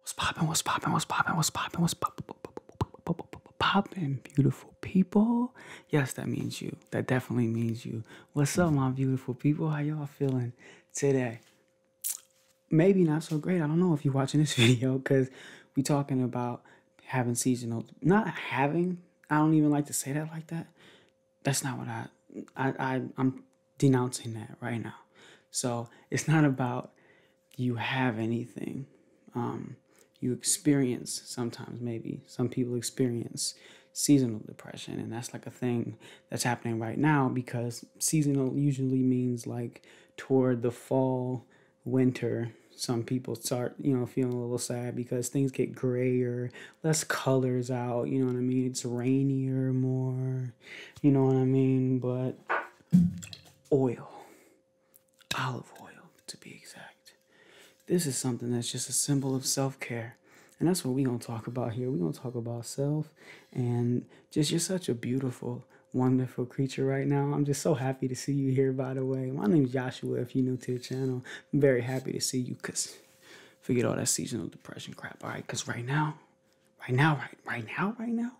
What's poppin'? What's poppin'? What's poppin'? What's poppin'? What's poppin'? Poppin', beautiful people. Yes, that means you. That definitely means you. What's up, my beautiful people? How y'all feeling today? Maybe not so great. I don't know if you're watching this video because we talking about having seasonal. Not having. I don't even like to say that like that. That's not what I, I I'm denouncing that right now. So it's not about you have anything. Um, you experience sometimes, maybe some people experience seasonal depression, and that's like a thing that's happening right now because seasonal usually means like toward the fall, winter. Some people start, you know, feeling a little sad because things get grayer, less colors out, you know what I mean? It's rainier more, you know what I mean? But oil, olive oil to be exact. This is something that's just a symbol of self care. And that's what we're going to talk about here. We're going to talk about self and just you're such a beautiful, wonderful creature right now. I'm just so happy to see you here, by the way. My name's Joshua, if you're new to the channel. I'm very happy to see you because forget all that seasonal depression crap, all right? Because right now, right now, right, right now, right now,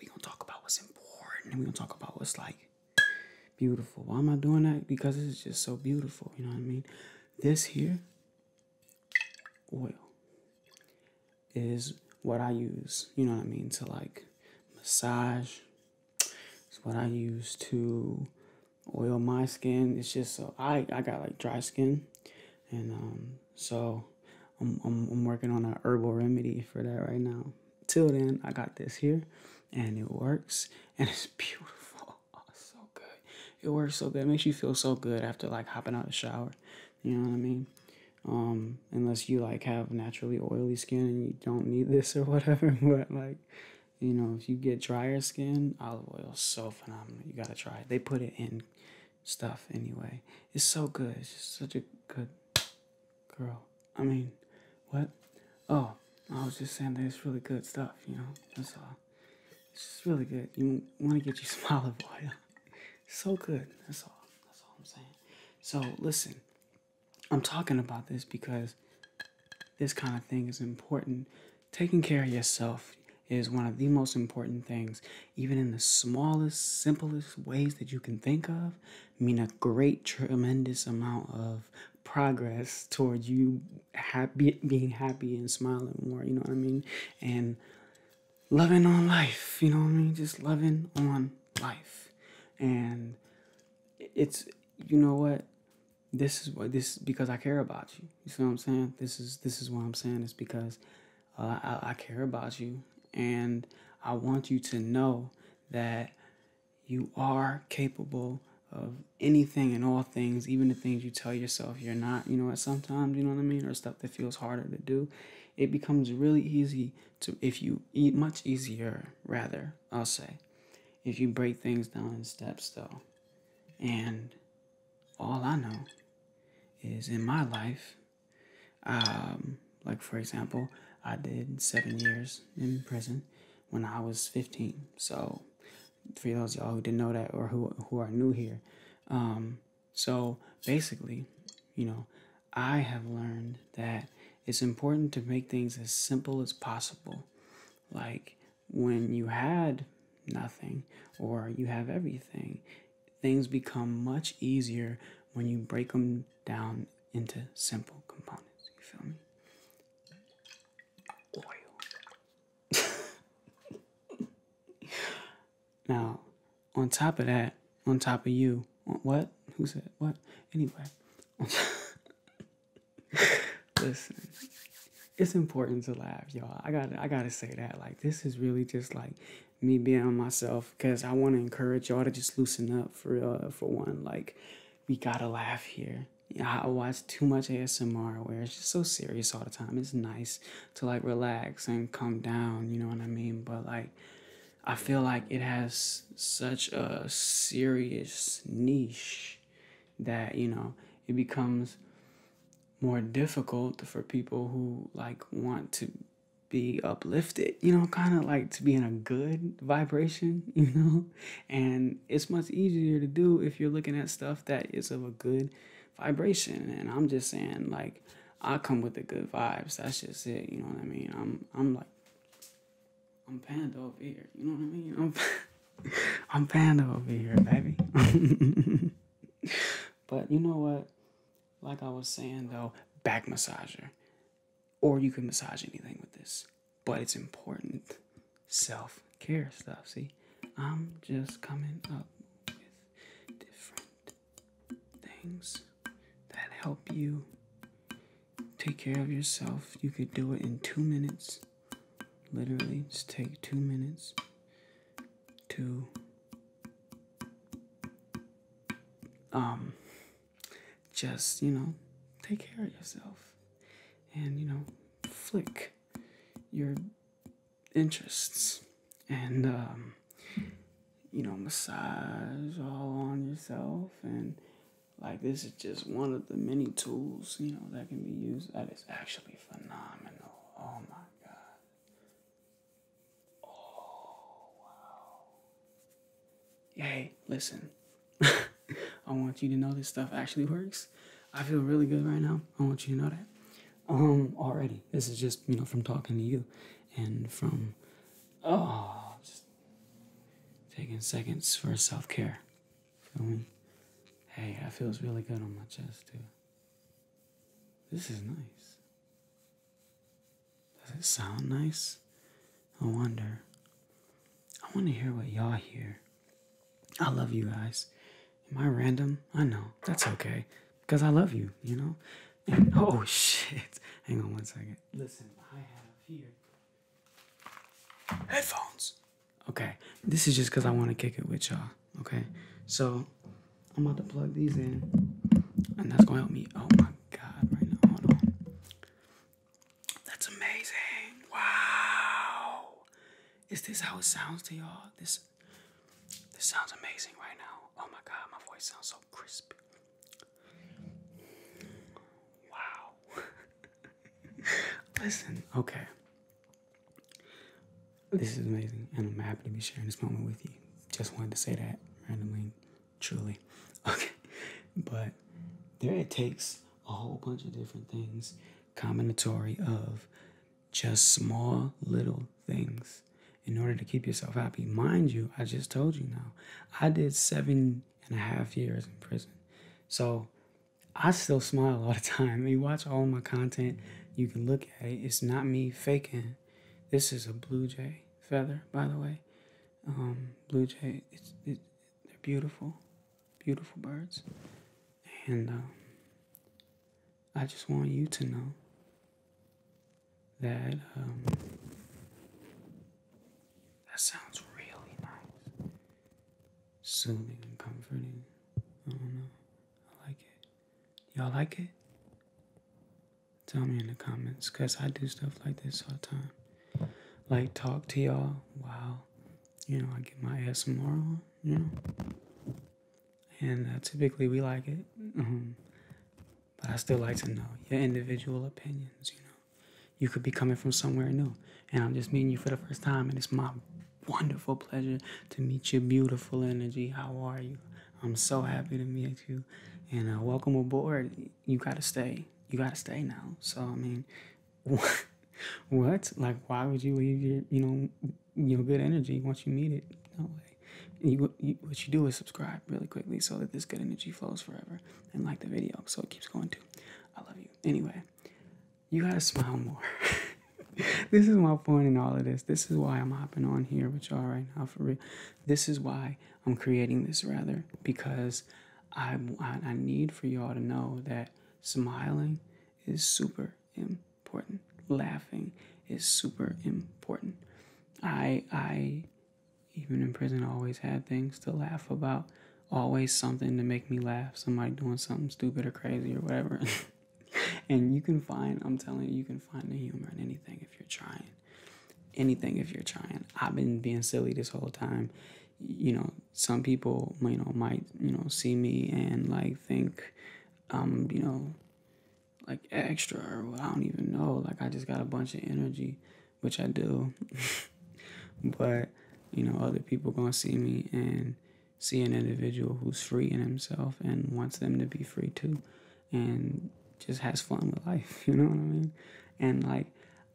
we gonna talk about what's important and we gonna talk about what's like beautiful. Why am I doing that? Because it's just so beautiful, you know what I mean? This here oil is what I use, you know what I mean, to like massage. It's what I use to oil my skin. It's just so I, I got like dry skin and um, so I'm, I'm, working on a herbal remedy for that right now. Till then, I got this here and it works and it's beautiful. Oh, it's so good. It works so good. It makes you feel so good after like hopping out of the shower. You know what I mean? Um, unless you like have naturally oily skin and you don't need this or whatever. But like, you know, if you get drier skin, olive oil is so phenomenal. You gotta try it. They put it in stuff anyway. It's so good. It's just such a good girl. I mean, what? Oh, I was just saying that it's really good stuff, you know? That's all. It's just really good. You want to get you some olive oil. so good. That's all. That's all I'm saying. So, listen. I'm talking about this because this kind of thing is important. Taking care of yourself is one of the most important things even in the smallest, simplest ways that you can think of, mean a great, tremendous amount of progress towards you happy, being happy and smiling more. You know what I mean? And loving on life. You know what I mean? Just loving on life. And it's you know what this is what this because I care about you. You see what I'm saying? This is this is what I'm saying is because uh, I, I care about you, and I want you to know that you are capable of anything and all things, even the things you tell yourself you're not. You know what? Sometimes, you know what I mean, or stuff that feels harder to do. It becomes really easy to, if you eat much easier, rather, I'll say, if you break things down in steps, though. And all I know is in my life, um, like, for example, I did seven years in prison when I was 15. So, for those y'all who didn't know that or who, who are new here, um, so basically, you know, I have learned that it's important to make things as simple as possible. Like, when you had nothing or you have everything, things become much easier when you break them down into simple components. You feel me? now, on top of that, on top of you, what? Who said what? Anyway, listen, it's important to laugh, y'all. I gotta, I gotta say that. Like, this is really just like me being myself because I want to encourage y'all to just loosen up for uh, for one. Like, we gotta laugh here. I watch too much ASMR where it's just so serious all the time. It's nice to like relax and come down, you know what I mean? But like, I feel like it has such a serious niche that, you know, it becomes more difficult for people who like want to be uplifted, you know, kind of like to be in a good vibration, you know. And it's much easier to do if you're looking at stuff that is of a good vibration. And I'm just saying, like, I come with the good vibes. That's just it, you know what I mean? I'm I'm like I'm panda over here, you know what I mean? I'm I'm panda over here, baby. but you know what? like I was saying though, back massager. Or you can massage anything with this. But it's important self care stuff. See, I'm just coming up with different things that help you take care of yourself. You could do it in two minutes. Literally, just take two minutes to um, just, you know, take care of yourself and, you know, flick your interests and, um, you know, massage all on yourself. And, like, this is just one of the many tools, you know, that can be used. That is actually phenomenal. Oh my God. Oh, wow. Hey, listen. I want you to know this stuff actually works. I feel really good right now. I want you to know that. Um, already. This is just, you know, from talking to you and from, oh, just taking seconds for self care. Feel me? Hey, I feel really good on my chest, too. This is nice. Does it sound nice? I wonder. I want to hear what y'all hear. I love you guys. Am I random? I know. That's okay. Because I love you, you know? oh, shit. Hang on one second. Listen, I have here headphones. Okay. This is just because I want to kick it with y'all. Okay. So I'm about to plug these in, and that's gonna help me. Oh my god, right now, hold on. That's amazing! Wow, is this how it sounds to y'all? This, this sounds amazing right now. Oh my god, my voice sounds so crisp. Wow. Listen, okay. This is amazing, and I'm happy to be sharing this moment with you. Just wanted to say that randomly, truly. Okay, but there it takes a whole bunch of different things, combinatory of just small little things in order to keep yourself happy. Mind you, I just told you now, I did seven and a half years in prison. So I still smile all the time. You watch all my content, you can look at it. It's not me faking. This is a blue jay feather, by the way. Um, blue jay, they're beautiful, beautiful birds. And um, I just want you to know that um, that sounds really nice, soothing and comforting. I don't know. I like it. Y'all like it? Tell me in the comments because I do stuff like this all the time. Like talk to y'all while, you know, I get my ASMR on, you know. And uh, typically we like it. Um, but I still like to know your individual opinions, you know. You could be coming from somewhere new. And I'm just meeting you for the first time and it's my wonderful pleasure to meet your beautiful energy. How are you? I'm so happy to meet you and uh, welcome aboard. You gotta stay. You gotta stay now. So I mean, what? Like, why would you leave your you know you know, good energy once you meet it? No way. You, what you do is subscribe really quickly so that this good energy flows forever and like the video so it keeps going too. I love you. Anyway, you gotta smile more. this is my point in all of this. This is why I'm hopping on here with y'all right now for real. This is why I'm creating this rather because I I need for y'all to know that smiling is super important. Laughing is super important. I I even in prison I always had things to laugh about. Always something to make me laugh. Somebody doing something stupid or crazy or whatever. and you can find I'm telling you you can find the humor in anything if you're trying. Anything if you're trying. I've been being silly this whole time. You know, some people, you know, might, you know, see me and like think I'm, you know, like extra I don't even know. Like I just got a bunch of energy, which I do. but, you know, other people gonna see me and see an individual who's free in himself and wants them to be free too and just has fun with life. You know what I mean? And like,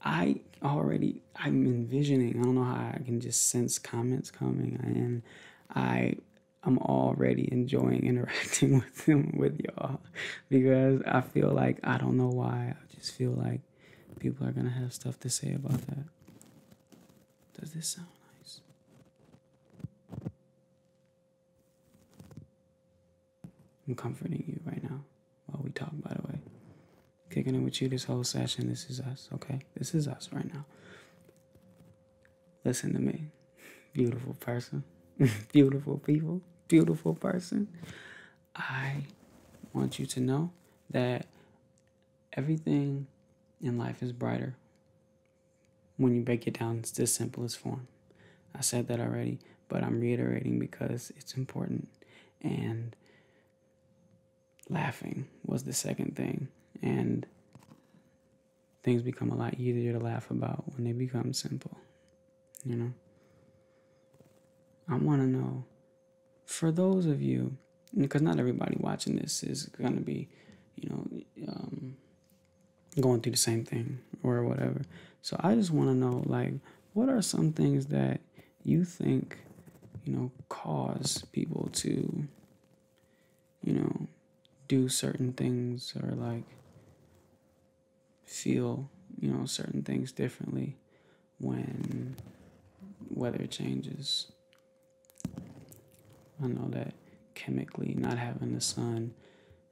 I already, I'm envisioning, I don't know how I can just sense comments coming. And I, I'm already enjoying interacting with them, with y'all, because I feel like, I don't know why, I just feel like people are gonna have stuff to say about that. Does this sound nice? I'm comforting you right now while we talk, by the way. Kicking it with you this whole session. This is us, okay? This is us right now. Listen to me. Beautiful person. beautiful people. Beautiful person. I want you to know that everything in life is brighter when you break it down, it's the simplest form. I said that already, but I'm reiterating because it's important. And laughing was the second thing. And things become a lot easier to laugh about when they become simple. You know? I want to know for those of you, because not everybody watching this is going to be, you know, um, going through the same thing or whatever. So I just want to know like what are some things that you think, you know, cause people to you know, do certain things or like feel, you know, certain things differently when weather changes. I know that chemically not having the sun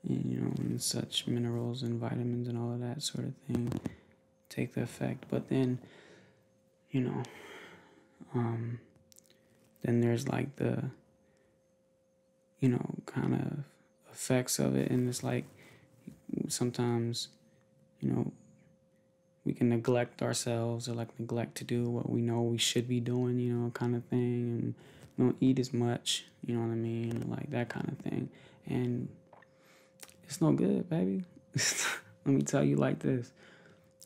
you know, such minerals and vitamins and all of that sort of thing take the effect. But then, you know, um, then there's like the, you know, kind of effects of it. And it's like sometimes, you know, we can neglect ourselves or like neglect to do what we know we should be doing, you know, kind of thing. And don't eat as much, you know what I mean? Like that kind of thing. And it's no good, baby. Let me tell you like this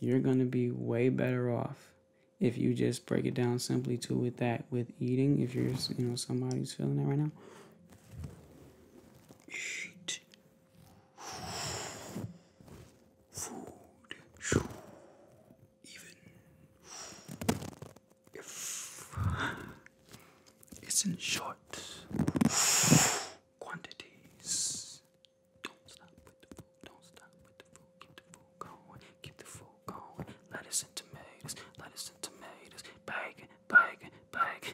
you're going to be way better off if you just break it down simply too with that with eating if you're you know somebody's feeling that right now eat food even if it's in short quantities. Don't stop with the food, don't stop with the food. Keep the food going, keep the food going. Lettuce and tomatoes, lettuce and tomatoes. Bacon, bacon, bacon.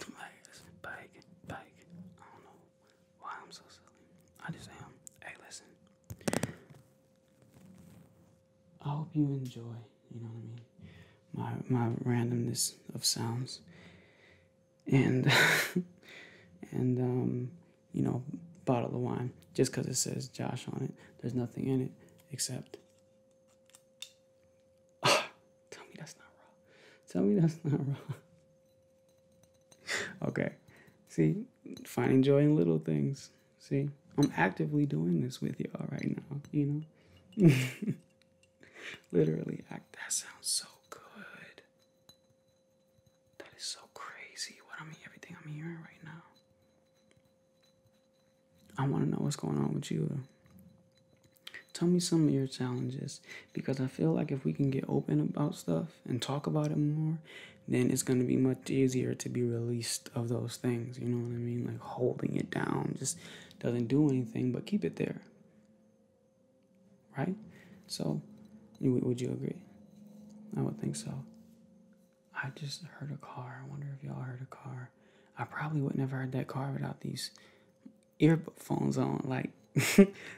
tomatoes, bacon, bacon. I don't know why I'm so silly. I just am. Hey, listen. I hope you enjoy, you know what I mean, my my randomness of sounds. And and um, you know, bottle of wine. Just because it says Josh on it, there's nothing in it except Tell me that's not wrong. Tell me that's not wrong. okay. See, finding joy in little things. See, I'm actively doing this with y'all right now, you know? Literally, that sounds so good. That is so crazy. What I mean, everything I'm hearing right now. I want to know what's going on with you. Tell me some of your challenges because I feel like if we can get open about stuff and talk about it more, then it's gonna be much easier to be released of those things. You know what I mean? Like holding it down just doesn't do anything but keep it there. Right? So, would you agree? I would think so. I just heard a car. I wonder if y'all heard a car. I probably would never heard that car without these earphones on, like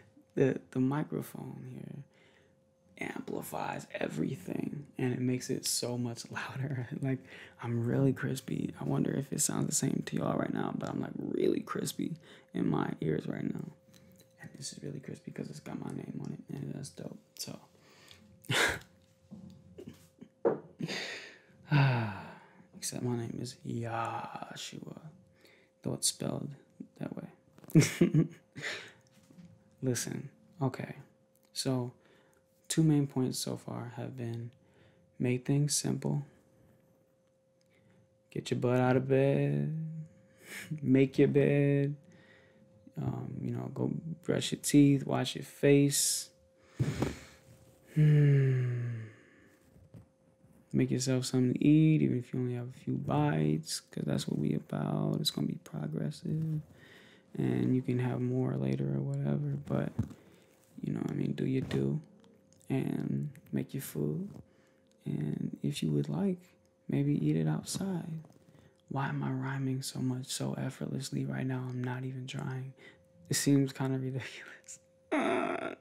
the the microphone here amplifies everything and it makes it so much louder. like I'm really crispy. I wonder if it sounds the same to y'all right now, but I'm like really crispy in my ears right now. And this is really crispy because it's got my name on it and that's dope. So ah, except my name is Yashua though it's spelled that way. Listen, okay. So, two main points so far have been make things simple, get your butt out of bed, make your bed, um, you know, go brush your teeth, wash your face. Hmm. Make yourself something to eat, even if you only have a few bites because that's what we about. It's gonna be progressive, and you can have more later or whatever. But you know, I mean, do your do, and make your food, and if you would like, maybe eat it outside. Why am I rhyming so much so effortlessly right now? I'm not even trying. It seems kind of ridiculous.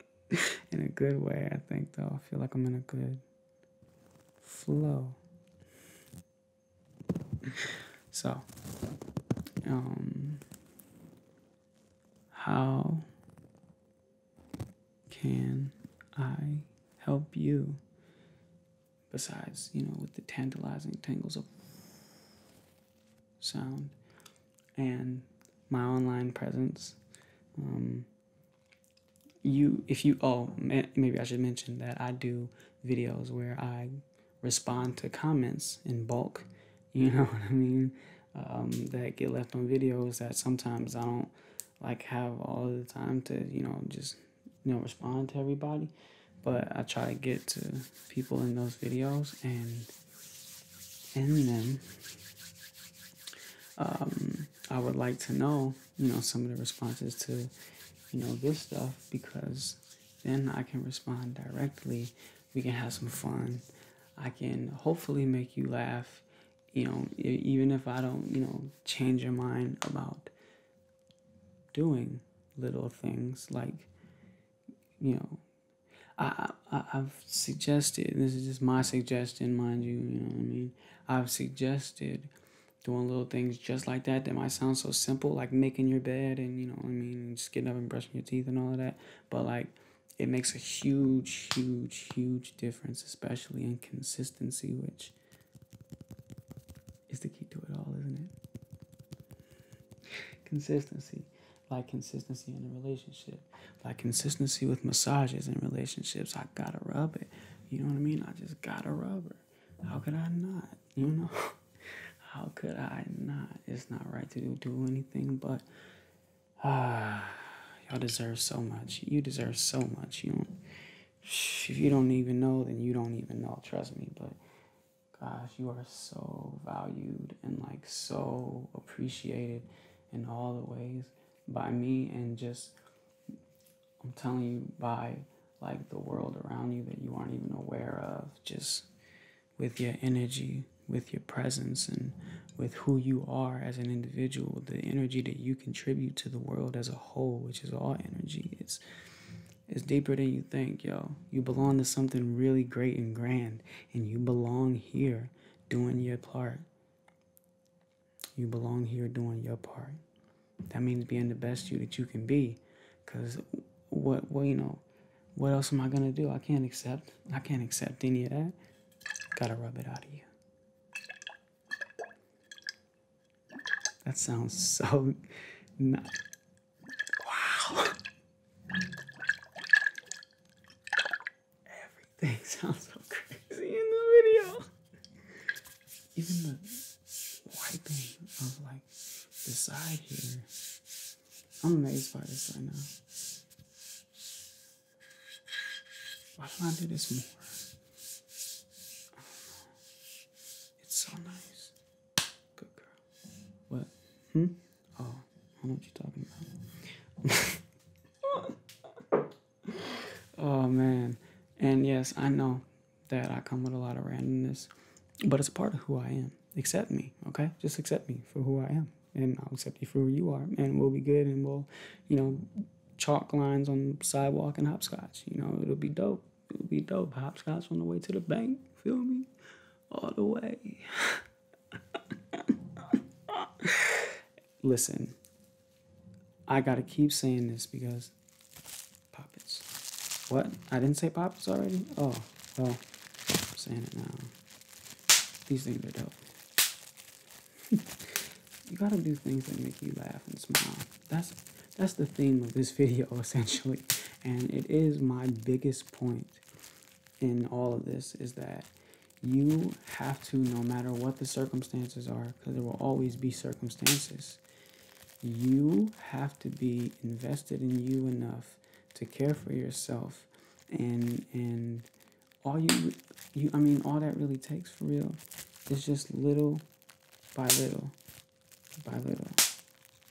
in a good way, I think, though. I feel like I'm in a good flow. So, um, how can I help you? Besides, you know, with the tantalizing tangles of sound and my online presence, um, you if you oh maybe I should mention that I do videos where I respond to comments in bulk. You know what I mean? Um, that get left on videos that sometimes I don't like have all the time to you know just you know respond to everybody, but I try to get to people in those videos and in them. Um, I would like to know you know some of the responses to you know this stuff because then I can respond directly. We can have some fun. I can hopefully make you laugh. You know, even if I don't, you know, change your mind about doing little things like, you know, I, I have suggested. This is just my suggestion, mind you. You know what I mean. I've suggested doing little things just like that that might sound so simple, like making your bed and you know I mean, just getting up and brushing your teeth and all of that. But like it makes a huge, huge, huge difference, especially in consistency, which is the key to it all, isn't it? Consistency. Like consistency in a relationship. Like consistency with massages in relationships. I gotta rub it. You know what I mean? I just got a rubber. How could I not? You know? How could I not? It's not right to do anything, but ah, y'all deserve so much. You deserve so much. You don't, if you don't even know, then you don't even know. Trust me. But gosh, you are so valued and like so appreciated in all the ways by me and just I'm telling you by like the world around you that you aren't even aware of, just with your energy, with your presence, and with who you are as an individual, the energy that you contribute to the world as a whole, which is all energy. It's it's deeper than you think, yo. You belong to something really great and grand, and you belong here doing your part. You belong here doing your part. That means being the best you that you can be. Cause what well, you know, what else am I gonna do? I can't accept I can't accept any of that. Gotta rub it out of you. That sounds so Wow. Everything sounds so crazy in this video. Even the wiping of like the side here. I'm amazed by this right now. Why don't I do this more? It's so nice. Good girl. What? Hmm? Oh, I don't know what you're talking about. oh man. And yes, I know that I come with a lot of randomness, but it's part of who I am. Accept me, okay? Just accept me for who I am. And I'll accept you for who you are. And we'll be good and we'll, you know, chalk lines on the sidewalk and hopscotch. You know, it'll be dope. It'll be dope. Hopscotch on the way to the bank. Feel me? All the way. Listen, I gotta keep saying this because poppets. What? I didn't say poppets already? Oh, well, I'm saying it now. These things are dope. you gotta do things that make you laugh and smile. That's that's the theme of this video essentially. And it is my biggest point in all of this is that you have to no matter what the circumstances are because there will always be circumstances. You have to be invested in you enough to care for yourself and and all you you I mean all that really takes for real is just little by little by little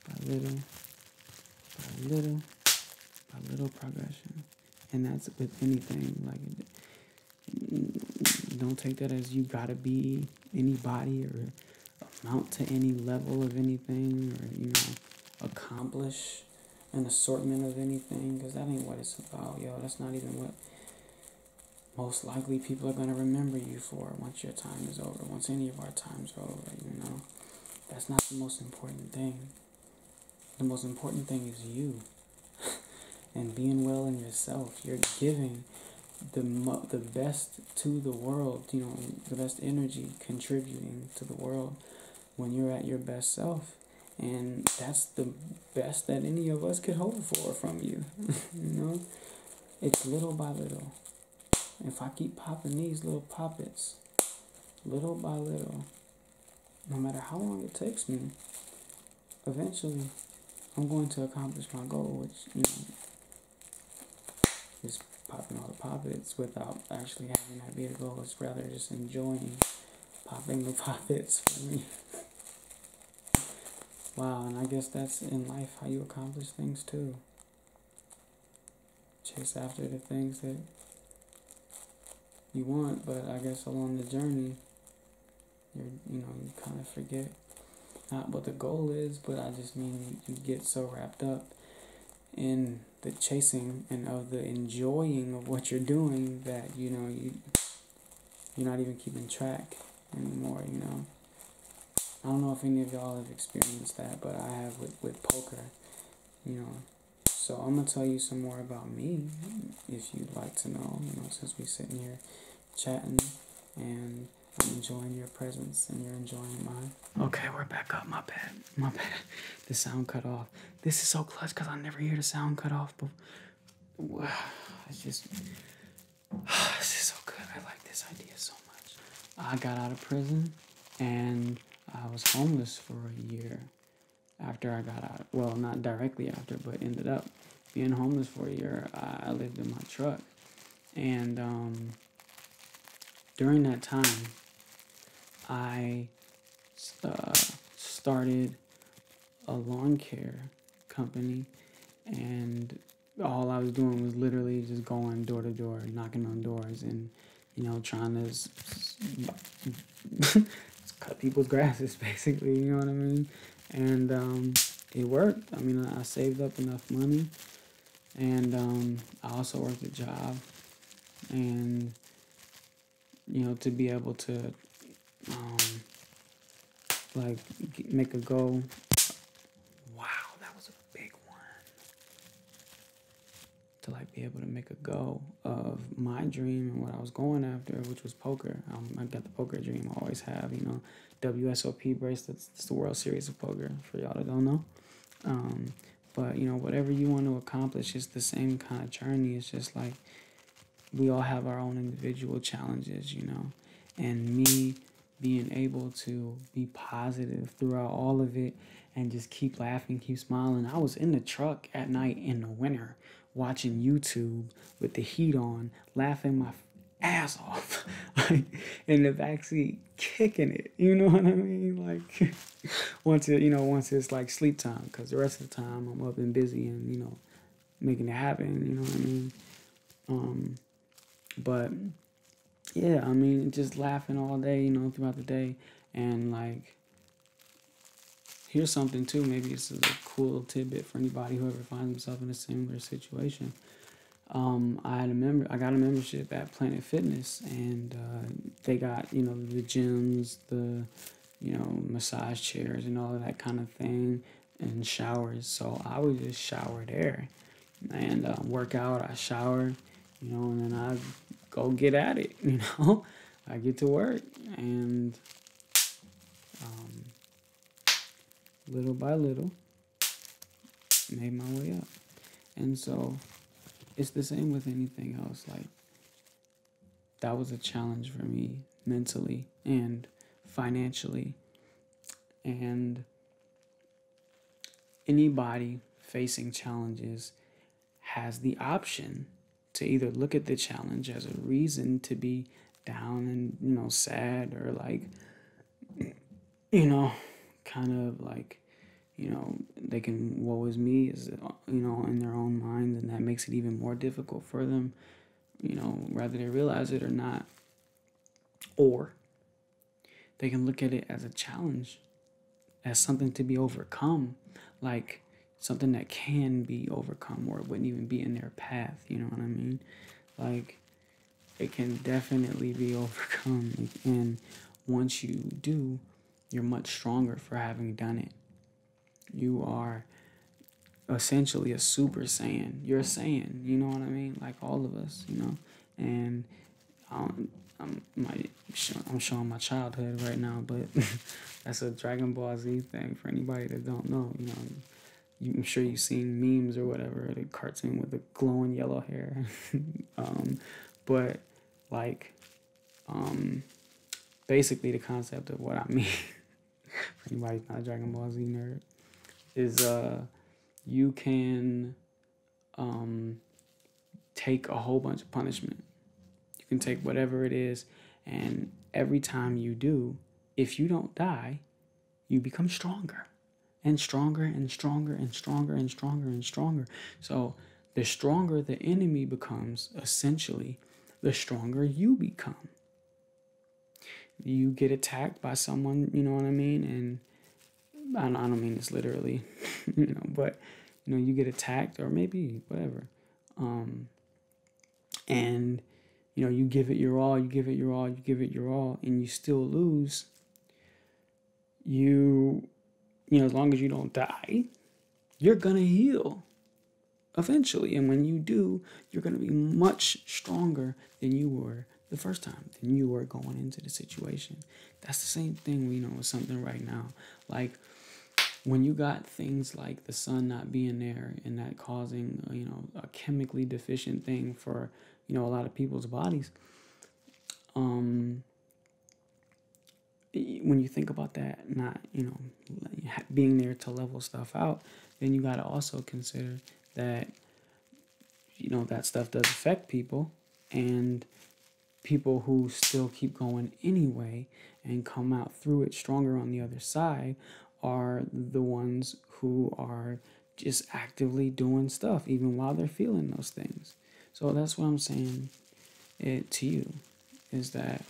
by little by little by little progression and that's with anything like don't take that as you gotta be anybody or amount to any level of anything or you know accomplish an assortment of anything because that ain't what it's about yo that's not even what most likely people are going to remember you for once your time is over once any of our times are over you know that's not the most important thing the most important thing is you and being well in yourself. You're giving the the best to the world, you know, the best energy contributing to the world when you're at your best self. And that's the best that any of us could hope for from you. you know, it's little by little. If I keep popping these little poppets, little by little, no matter how long it takes me, eventually I'm going to accomplish my goal, which you know, is popping all the poppets without actually having that be the goal. It's rather just enjoying popping the poppets for me. wow, and I guess that's in life how you accomplish things too. Chase after the things that you want, but I guess along the journey, you you know you kind of forget not what the goal is, but I just mean you get so wrapped up in the chasing and of the enjoying of what you're doing that you know you you're not even keeping track anymore. You know, I don't know if any of y'all have experienced that, but I have with with poker. You know. So I'm gonna tell you some more about me, if you'd like to know. You know, since we're sitting here chatting and I'm enjoying your presence and you're enjoying mine. Okay, we're back up. My bad. My bad. The sound cut off. This is so clutch because I never hear the sound cut off. But wow, it's just this is so good. I like this idea so much. I got out of prison and I was homeless for a year after I got out. Well, not directly after, but ended up being homeless for a year, I, lived in my truck. And um, during that time, I uh, started a lawn care company, and all I was doing was literally just going door to door, knocking on doors, and you know, trying to cut people's grasses, basically. You know what I mean? and um, it worked. I mean, I saved up enough money, and um, I also worked a job, and you know, to be able to um, like make a go. Wow, that was a big one. To like be able to make a go of my dream and what I was going after, which was poker. Um, I got the poker dream. I always have. You know, WSOP bracelets. It's the World Series of Poker. For y'all that don't know. Um, but you know, whatever you want to accomplish, it's the same kind of journey. It's just like we all have our own individual challenges. You know, and me being able to be positive throughout all of it and just keep laughing, keep smiling. I was in the truck at night in the winter watching YouTube with the heat on, laughing my ass off, like in the backseat, kicking it. You know what I mean? Like once it, you know, once it's like sleep time, because the rest of the time I'm up and busy and you know making it happen. You know what I mean? Um, but yeah, I mean, just laughing all day, you know, throughout the day, and like here's something too. Maybe this is a cool tidbit for anybody who ever finds themselves in a similar situation. Um, I had a member. I got a membership at Planet Fitness, and uh, they got you know the gyms, the you know massage chairs, and all that kind of thing, and showers. So I would just shower there, and um, work out. I shower, you know, and then I go get at it. You know, I get to work, and um, little by little, made my way up. And so it's the same with anything else. Like, that was a challenge for me mentally and financially. And anybody facing challenges has the option to either look at the challenge as a reason to be down and you know sad or like you know kind of like you know they can woe me is you know in their own minds and that makes it even more difficult for them you know whether they realize it or not or they can look at it as a challenge as something to be overcome like something that can be overcome or wouldn't even be in their path you know what I mean? Like, it can definitely be overcome. and once you do, you're much stronger for having done it. You are essentially a super saiyan. You're a saiyan, you know what I mean? Like all of us, you know? And I'm showing my childhood right now, but that's a Dragon Ball Z thing for anybody that don't know, you know? I'm sure you've seen memes or whatever, the cartoon with the glowing yellow hair. Um, but like, um, basically the concept of what I mean, for anybody not a Dragon Ball Z nerd, is uh, you can um, take a whole bunch of punishment. You can take whatever it is, and every time you do, if you don't die, you become stronger and stronger and stronger and stronger and stronger and stronger. So, the stronger the enemy becomes, essentially, the stronger you become. You get attacked by someone, you know what I mean? And I don't, mean this literally, you know, but you know, you get attacked or maybe whatever. Um, and you know, you give it your all, you give it your all, you give it your all, and you still lose. You, you know, as long as you don't die, you're gonna heal eventually. And when you do, you're gonna be much stronger than you were the first time, than you were going into the situation. That's the same thing we know is something right now. Like when you got things like the sun not being there and that causing uh, you know a chemically deficient thing for you know a lot of people's bodies um when you think about that not you know being there to level stuff out then you got to also consider that you know that stuff does affect people and people who still keep going anyway and come out through it stronger on the other side are the ones who are just actively doing stuff even while they're feeling those things. So that's what I'm saying it to you is that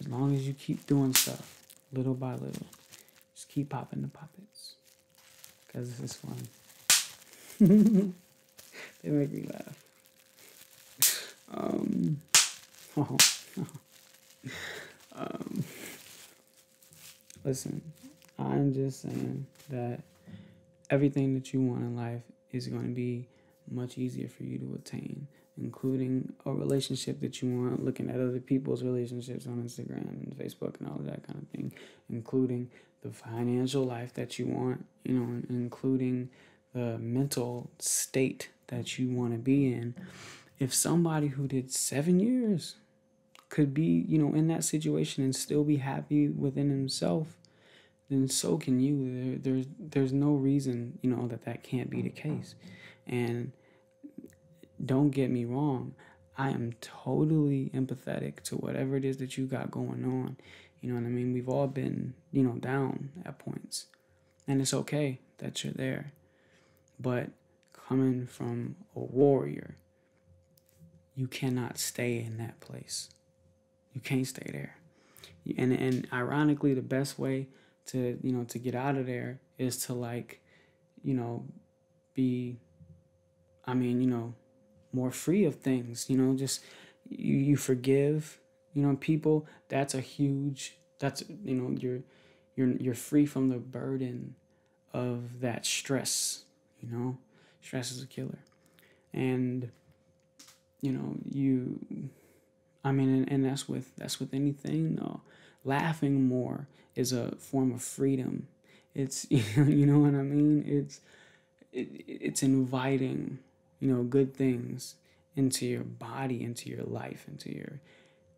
as long as you keep doing stuff little by little, just keep popping the poppets because this is fun. they make me laugh. Um, oh, Um, listen, I'm just saying that everything that you want in life is going to be much easier for you to attain, including a relationship that you want, looking at other people's relationships on Instagram and Facebook and all that kind of thing, including the financial life that you want, you know, including the mental state that you want to be in. If somebody who did seven years could be, you know, in that situation and still be happy within himself, then so can you. there's there's no reason, you know, that that can't be the case. And don't get me wrong, I am totally empathetic to whatever it is that you got going on. You know what I mean? We've all been, you know, down at points. And it's okay that you're there. But coming from a warrior, you cannot stay in that place. You can't stay there. And and ironically the best way to, you know, to get out of there is to like, you know, be I mean, you know, more free of things, you know, just you, you forgive, you know, people. That's a huge that's you know you're you're you're free from the burden of that stress you know stress is a killer and you know you i mean and, that's with that's with anything no laughing more is a form of freedom it's you know, you know what i mean it's it, it's inviting you know good things into your body into your life into your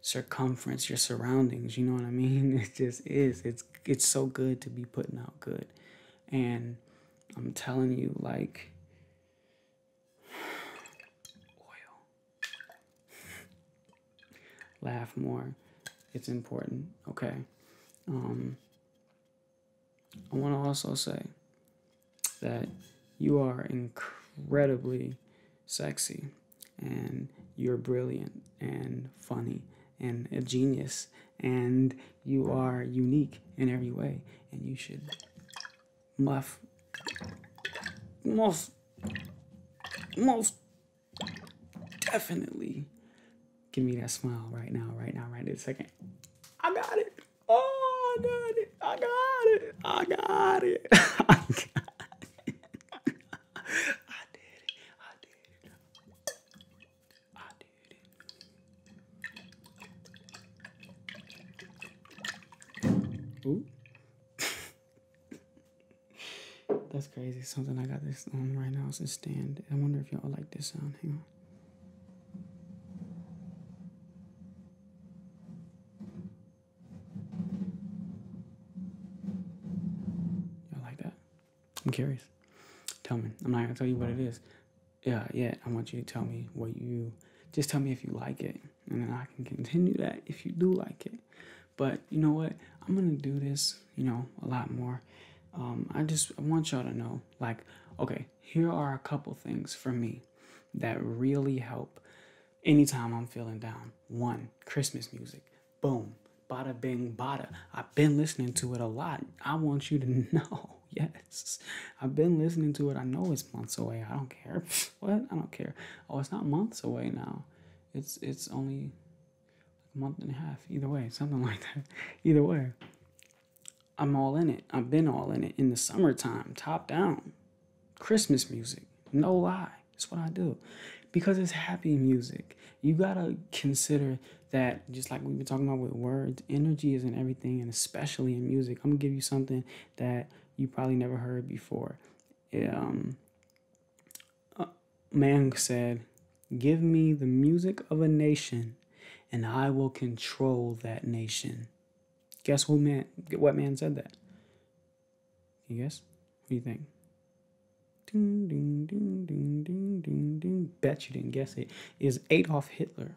circumference, your surroundings, you know what I mean? It just is. It's it's so good to be putting out good. And I'm telling you, like Laugh more. It's important. Okay. Um I wanna also say that you are incredibly sexy and you're brilliant and funny and a genius and you are unique in every way and you should muff most most definitely give me that smile right now right now right this second i got it oh i got it I got it. I got it. I got it. I did it. I did it. I did it. Ooh. That's crazy. Something I got this on right now is a stand. I wonder if y'all like this sound. Hang on you like that? I'm curious. Tell me. I'm not gonna tell you what it is. Yeah, yeah. I want you to tell me what you. Just tell me if you like it, and then I can continue that if you do like it. But you know what? I'm gonna do this. You know, a lot more. Um, I just I want y'all to know, like, okay, here are a couple things for me that really help anytime I'm feeling down. One, Christmas music. Boom. Bada bing bada. I've been listening to it a lot. I want you to know. Yes. I've been listening to it. I know it's months away. I don't care. what? I don't care. Oh, it's not months away now. It's it's only a month and a half. Either way, something like that. Either way. I'm all in it. I've been all in it in the summertime, top down. Christmas music. No oh, lie. That's what I do. Because it's happy music. You gotta consider that just like we've been talking about with words, energy is in everything, and especially in music. I'm gonna give you something that you probably never heard before. um, man said, Give me the music of a nation, and I will control that nation. Guess who man what man said that? You guys? What do you think? Ding, ding, ding, ding, ding, ding, ding. Bet you didn't guess it. Is Adolf Hitler.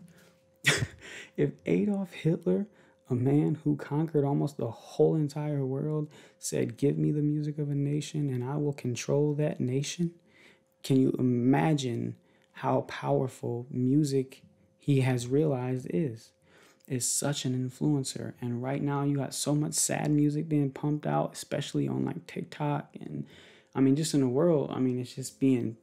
if Adolf Hitler, a man who conquered almost the whole entire world, said, Give me the music of a nation and I will control that nation, can you imagine how powerful music he has realized is? is such an influencer. And right now, you got so much sad music being pumped out, especially on like TikTok. And I mean, just in the world, I mean, it's just being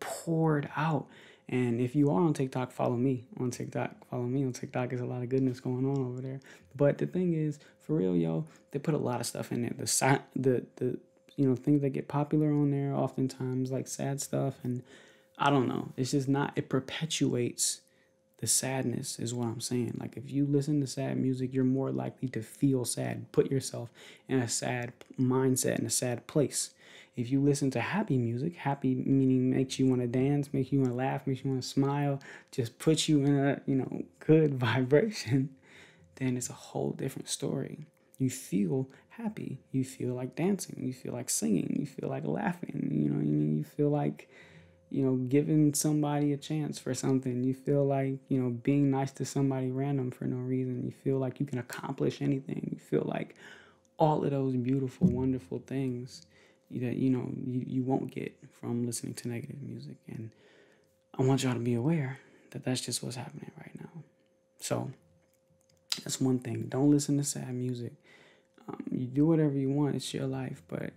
poured out. And if you are on TikTok, follow me on TikTok. Follow me on TikTok. There's a lot of goodness going on over there. But the thing is, for real, yo, they put a lot of stuff in there. The si- the the you know things that get popular on there, oftentimes like sad stuff, and I don't know. It's just not. It perpetuates the sadness is what I'm saying. Like if you listen to sad music, you're more likely to feel sad, put yourself in a sad mindset, in a sad place. If you listen to happy music, happy meaning makes you want to dance, makes you want to laugh, makes you want to smile, just puts you in a, you know, good vibration, then it's a whole different story. You feel happy, you feel like dancing, you feel like singing, you feel like laughing, you know, you feel like, you know, giving somebody a chance for something. You feel like, you know, being nice to somebody random for no reason. You feel like you can accomplish anything. You feel like all of those beautiful, wonderful things that, you know, you, you won't get from listening to negative music. And I want y'all to be aware that that's just what's happening right now. So that's one thing. Don't listen to sad music. Um, you do whatever you want, it's your life. But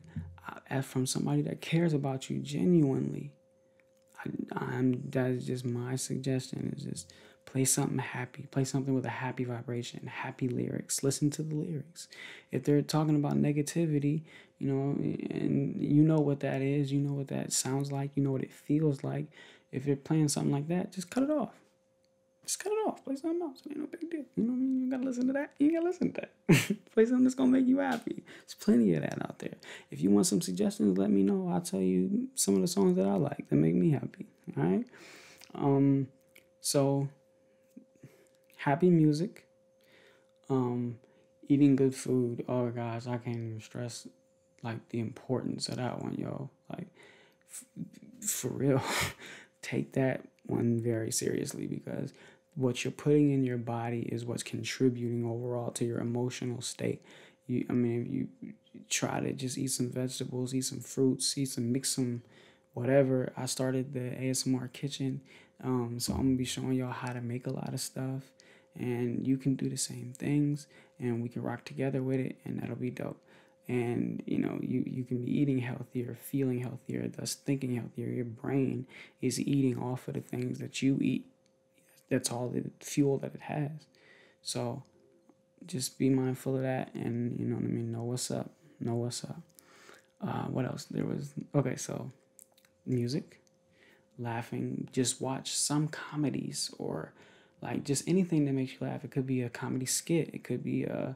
I, from somebody that cares about you genuinely, I, am that's just my suggestion is just play something happy, play something with a happy vibration, happy lyrics. Listen to the lyrics. If they're talking about negativity, you know, and you know what that is, you know what that sounds like, you know what it feels like. If you're playing something like that, just cut it off just cut it off. Play something else. ain't no big deal. You know what I mean? You gotta listen to that. You gotta listen to that. play something that's gonna make you happy. There's plenty of that out there. If you want some suggestions, let me know. I'll tell you some of the songs that I like that make me happy. All right. Um. So, happy music. Um, eating good food. Oh guys, I can't even stress like the importance of that one, y'all. Like for real, take that one very seriously because what you're putting in your body is what's contributing overall to your emotional state. You, I mean, if you try to just eat some vegetables, eat some fruits, eat some, mix some, whatever. I started the ASMR kitchen, um, so I'm gonna be showing y'all how to make a lot of stuff, and you can do the same things, and we can rock together with it, and that'll be dope and you know you, you can be eating healthier feeling healthier thus thinking healthier your brain is eating off of the things that you eat that's all the fuel that it has so just be mindful of that and you know what i mean know what's up know what's up uh, what else there was okay so music laughing just watch some comedies or like just anything that makes you laugh it could be a comedy skit it could be a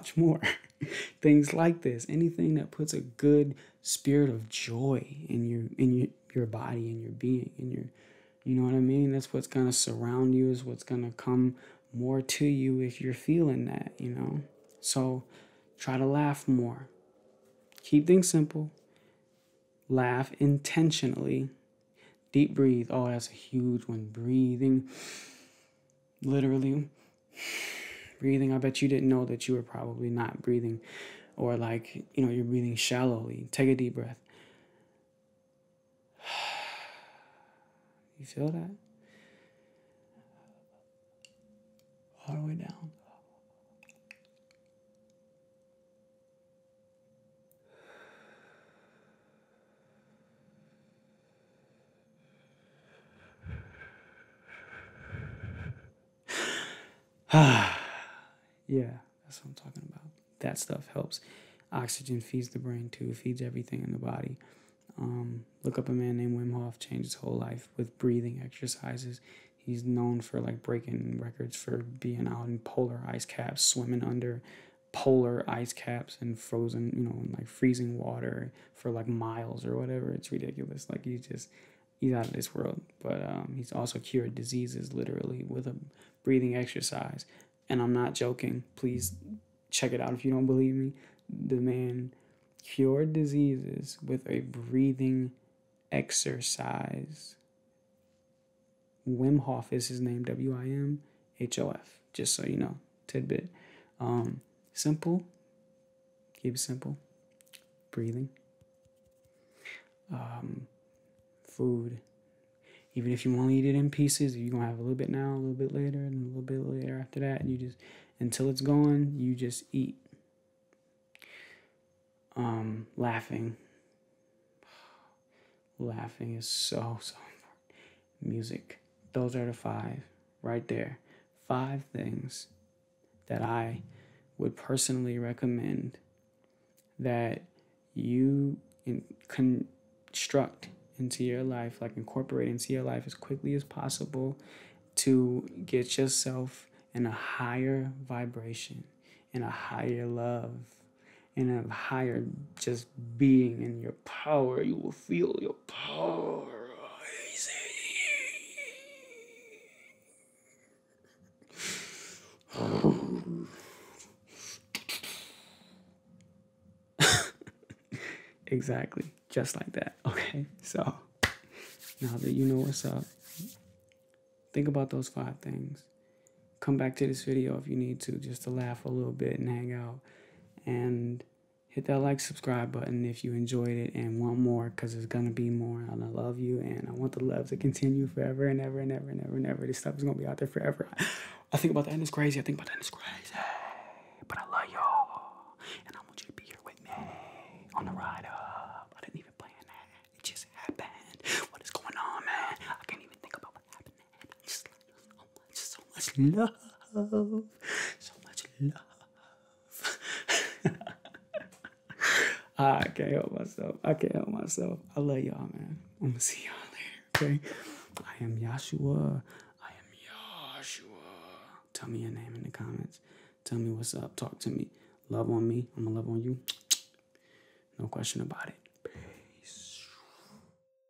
more. Things like this, anything that puts a good spirit of joy in your in your your body and your being and your you know what I mean? That's what's gonna surround you, is what's gonna come more to you if you're feeling that, you know. So try to laugh more. Keep things simple. Laugh intentionally. Deep breathe. Oh, that's a huge one. Breathing literally breathing. I bet you didn't know that you were probably not breathing or like, you know, you're breathing shallowly. Take a deep breath. You feel that? All the way down. yeah, that's what I'm talking about. That stuff helps. Oxygen feeds the brain too, feeds everything in the body. Um, look up a man named Wim Hof, changed his whole life with breathing exercises. He's known for like breaking records for being out in polar ice caps, swimming under polar ice caps and frozen, you know, like freezing water for like miles or whatever. It's ridiculous. Like he's just he's out of this world. But um, he's also cured diseases literally with a breathing exercise. And I'm not joking. Please check it out if you don't believe me. The man cured diseases with a breathing exercise. Wim Hof is his name, W I M H O F just so you know, tidbit. Um, simple, keep it simple. Breathing. Um, food. Even if you want to eat it in pieces, you're gonna have a little bit now, a little bit later, and a little bit later after that. you just until it's gone, you just eat. Um, laughing. Laughing is so, so important. Music. Those are the five right there. Five things that I would personally recommend that you construct into your life, like incorporate into your life as quickly as possible to get yourself in a higher vibration, in a higher love, in a higher just being in your power, you will feel your power exactly, just like that. Okay, so now that you know what's up, think about those five things. Come back to this video if you need to, just to laugh a little bit and hang out and hit that like subscribe button if you enjoyed it and want more because there's gonna be more and i love you and i want the love to continue forever and ever and ever and ever and ever this stuff is gonna be out there forever i think about that and it's crazy i think about that and it's crazy but i love y'all and i want you to be here with me on the ride up i didn't even plan that it just happened what is going on man i can't even think about what happened just so much, love, so much love. I can't help myself. I can't help myself. I love y'all, man. I'm gonna see y'all later. Okay. I am Yashua. I am Yashua. Tell me your name in the comments. Tell me what's up. Talk to me. Love on me. I'm gonna love on you. No question about it. Peace.